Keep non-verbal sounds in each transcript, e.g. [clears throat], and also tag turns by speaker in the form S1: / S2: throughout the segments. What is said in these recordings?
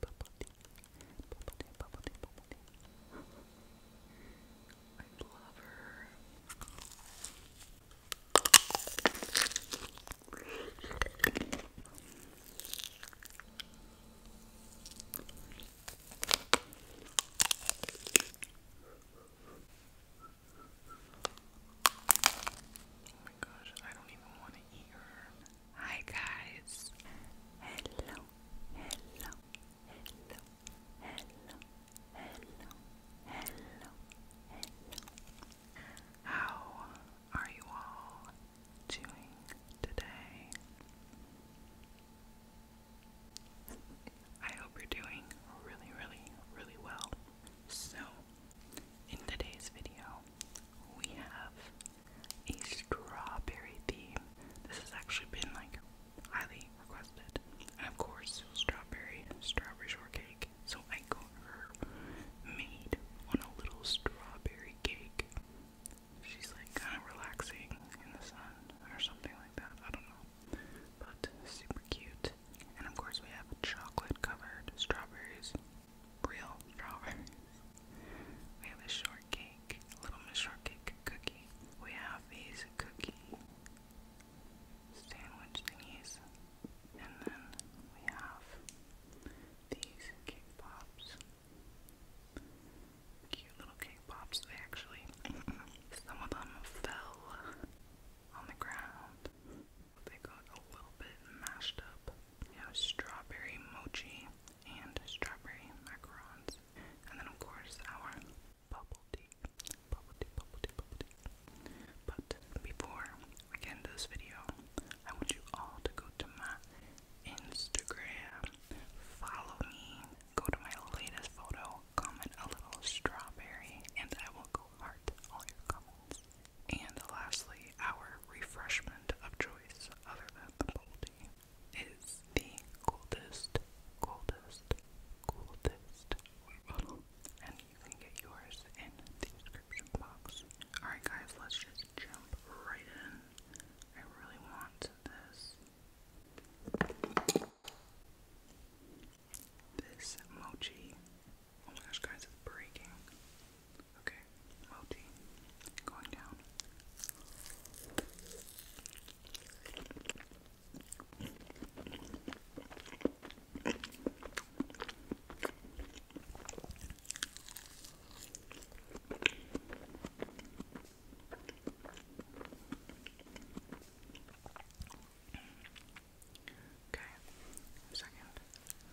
S1: Bubble tea. I love her. Oh my gosh, I don't even want to eat her. Hi guys. Hello. Hello. Hello. Hello. Hello. Hello. How are you all doing today? I hope you're doing really, really, really well. So, in today's video, we have a strawberry theme. This has actually been like highly requested. And of course, strawberry, strawberry shortcake. So I got her made on a little strawberry cake. She's like kind of relaxing in the sun or something like that. I don't know. But super cute. And of course, we have chocolate covered strawberries real strawberries. We have a shortcake, a little miss shortcake cookie. We have these cookie sandwich thingies. And then we have these cake pops. Cute little cake pops. They actually, [clears throat] some of them fell on the ground. They got a little bit mashed up. Now strawberry mochi and strawberry macarons. And then of course our bubble tea. Bubble tea, bubble tea, bubble tea. But before we end this video, I want you all to go to my Instagram. Follow me. Go to my latest photo. Comment a little strawberry and I will go heart all your comments. And lastly, our refreshment of choice, other than the bowl tea, is the coldest, coldest, coldest water bottle. And you can get yours in the description box. Alright, guys, let's just jump right in. I really want this. This mochi Oh my gosh, guys, it's breaking. Okay, multi going down. Okay, second.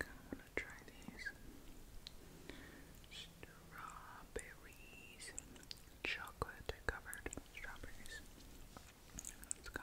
S1: I'm to try these strawberries, chocolate covered strawberries. Let's go.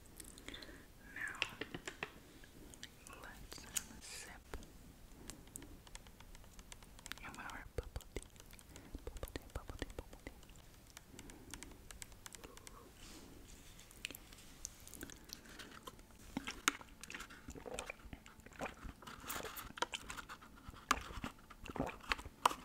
S1: Now, let's have a sip of our bubble tea. Bubble tea, bubble tea, bubble tea. Ooh.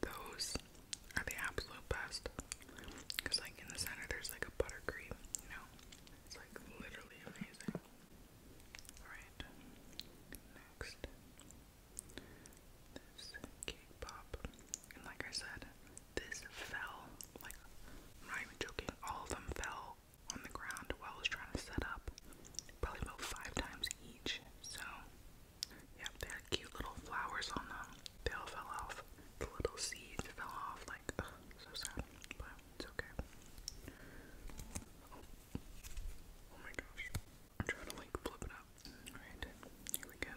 S1: Those are the absolute best. Because, like, in the center, there's like a buttercream, you know? It's like literally amazing. Alright, next. This cake pop. And, like I said, this fell, like, I'm not even joking, all of them fell on the ground while I was trying to set up, probably about five times each. So, yeah, they had cute little flowers on them. They all fell off. The little seeds fell off, like, so sad, but it's okay. Oh, oh my gosh. I'm trying to, like, flip it up. Alright, here we go.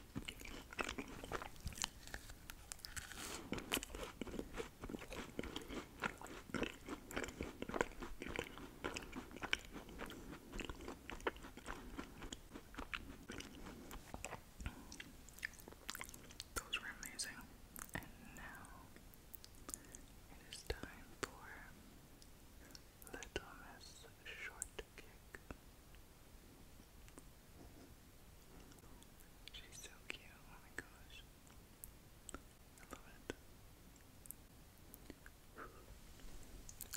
S1: Those were amazing. And now it is time for Little Miss Shortcake. She's so cute, oh my gosh.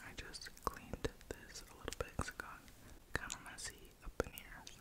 S1: I just cleaned this a little bit because kind of messy up in here, so.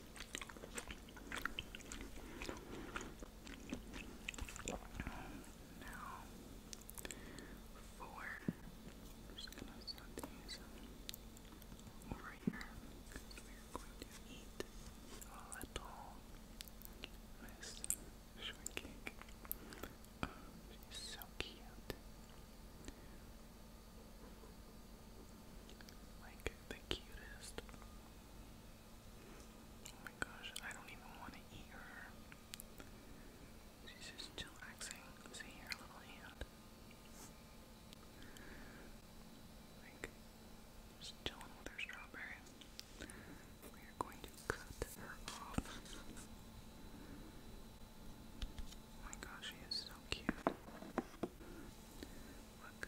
S1: Now, four. I'm just gonna start to over here. We're going to eat a little Miss Shortcake. she's so cute. Like the cutest. Oh my gosh, I don't even want to eat her. She's just chillaxing. See her little hand. Like, just chilling with her strawberry. We are going to cut her off. Oh my gosh, she is so cute. Look.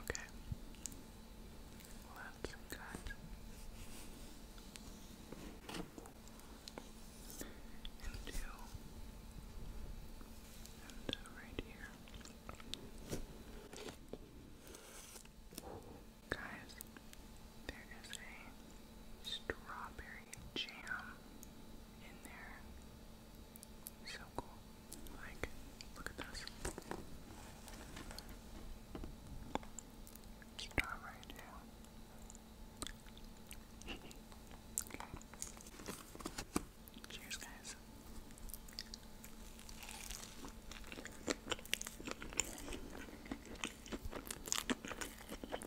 S1: Okay. Well, that's good. And two. And uh, right here. Guys, there is a strawberry jam in there. So cool. Like, look at this. Star right now. okay. [laughs] Cheers, guys.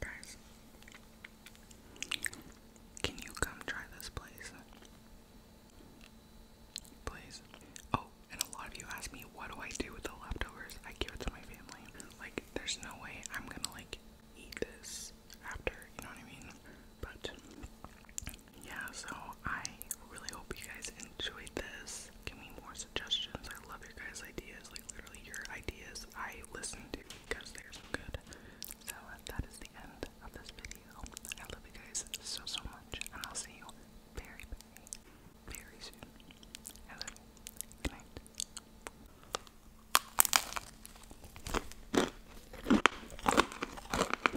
S1: Guys, can you come try this place? Please. Oh, and a lot of you ask me, what do I do with the leftovers? I give it to my family. Like, there's no way I'm gonna, like, eat this after, you know what I mean? But yeah, so I really hope you guys enjoyed this. Give me more suggestions. I love your guys' ideas. Like literally your ideas I listen to because they're so good. So that is the end of this video. I love you guys so so much and I'll see you very very soon. Good night.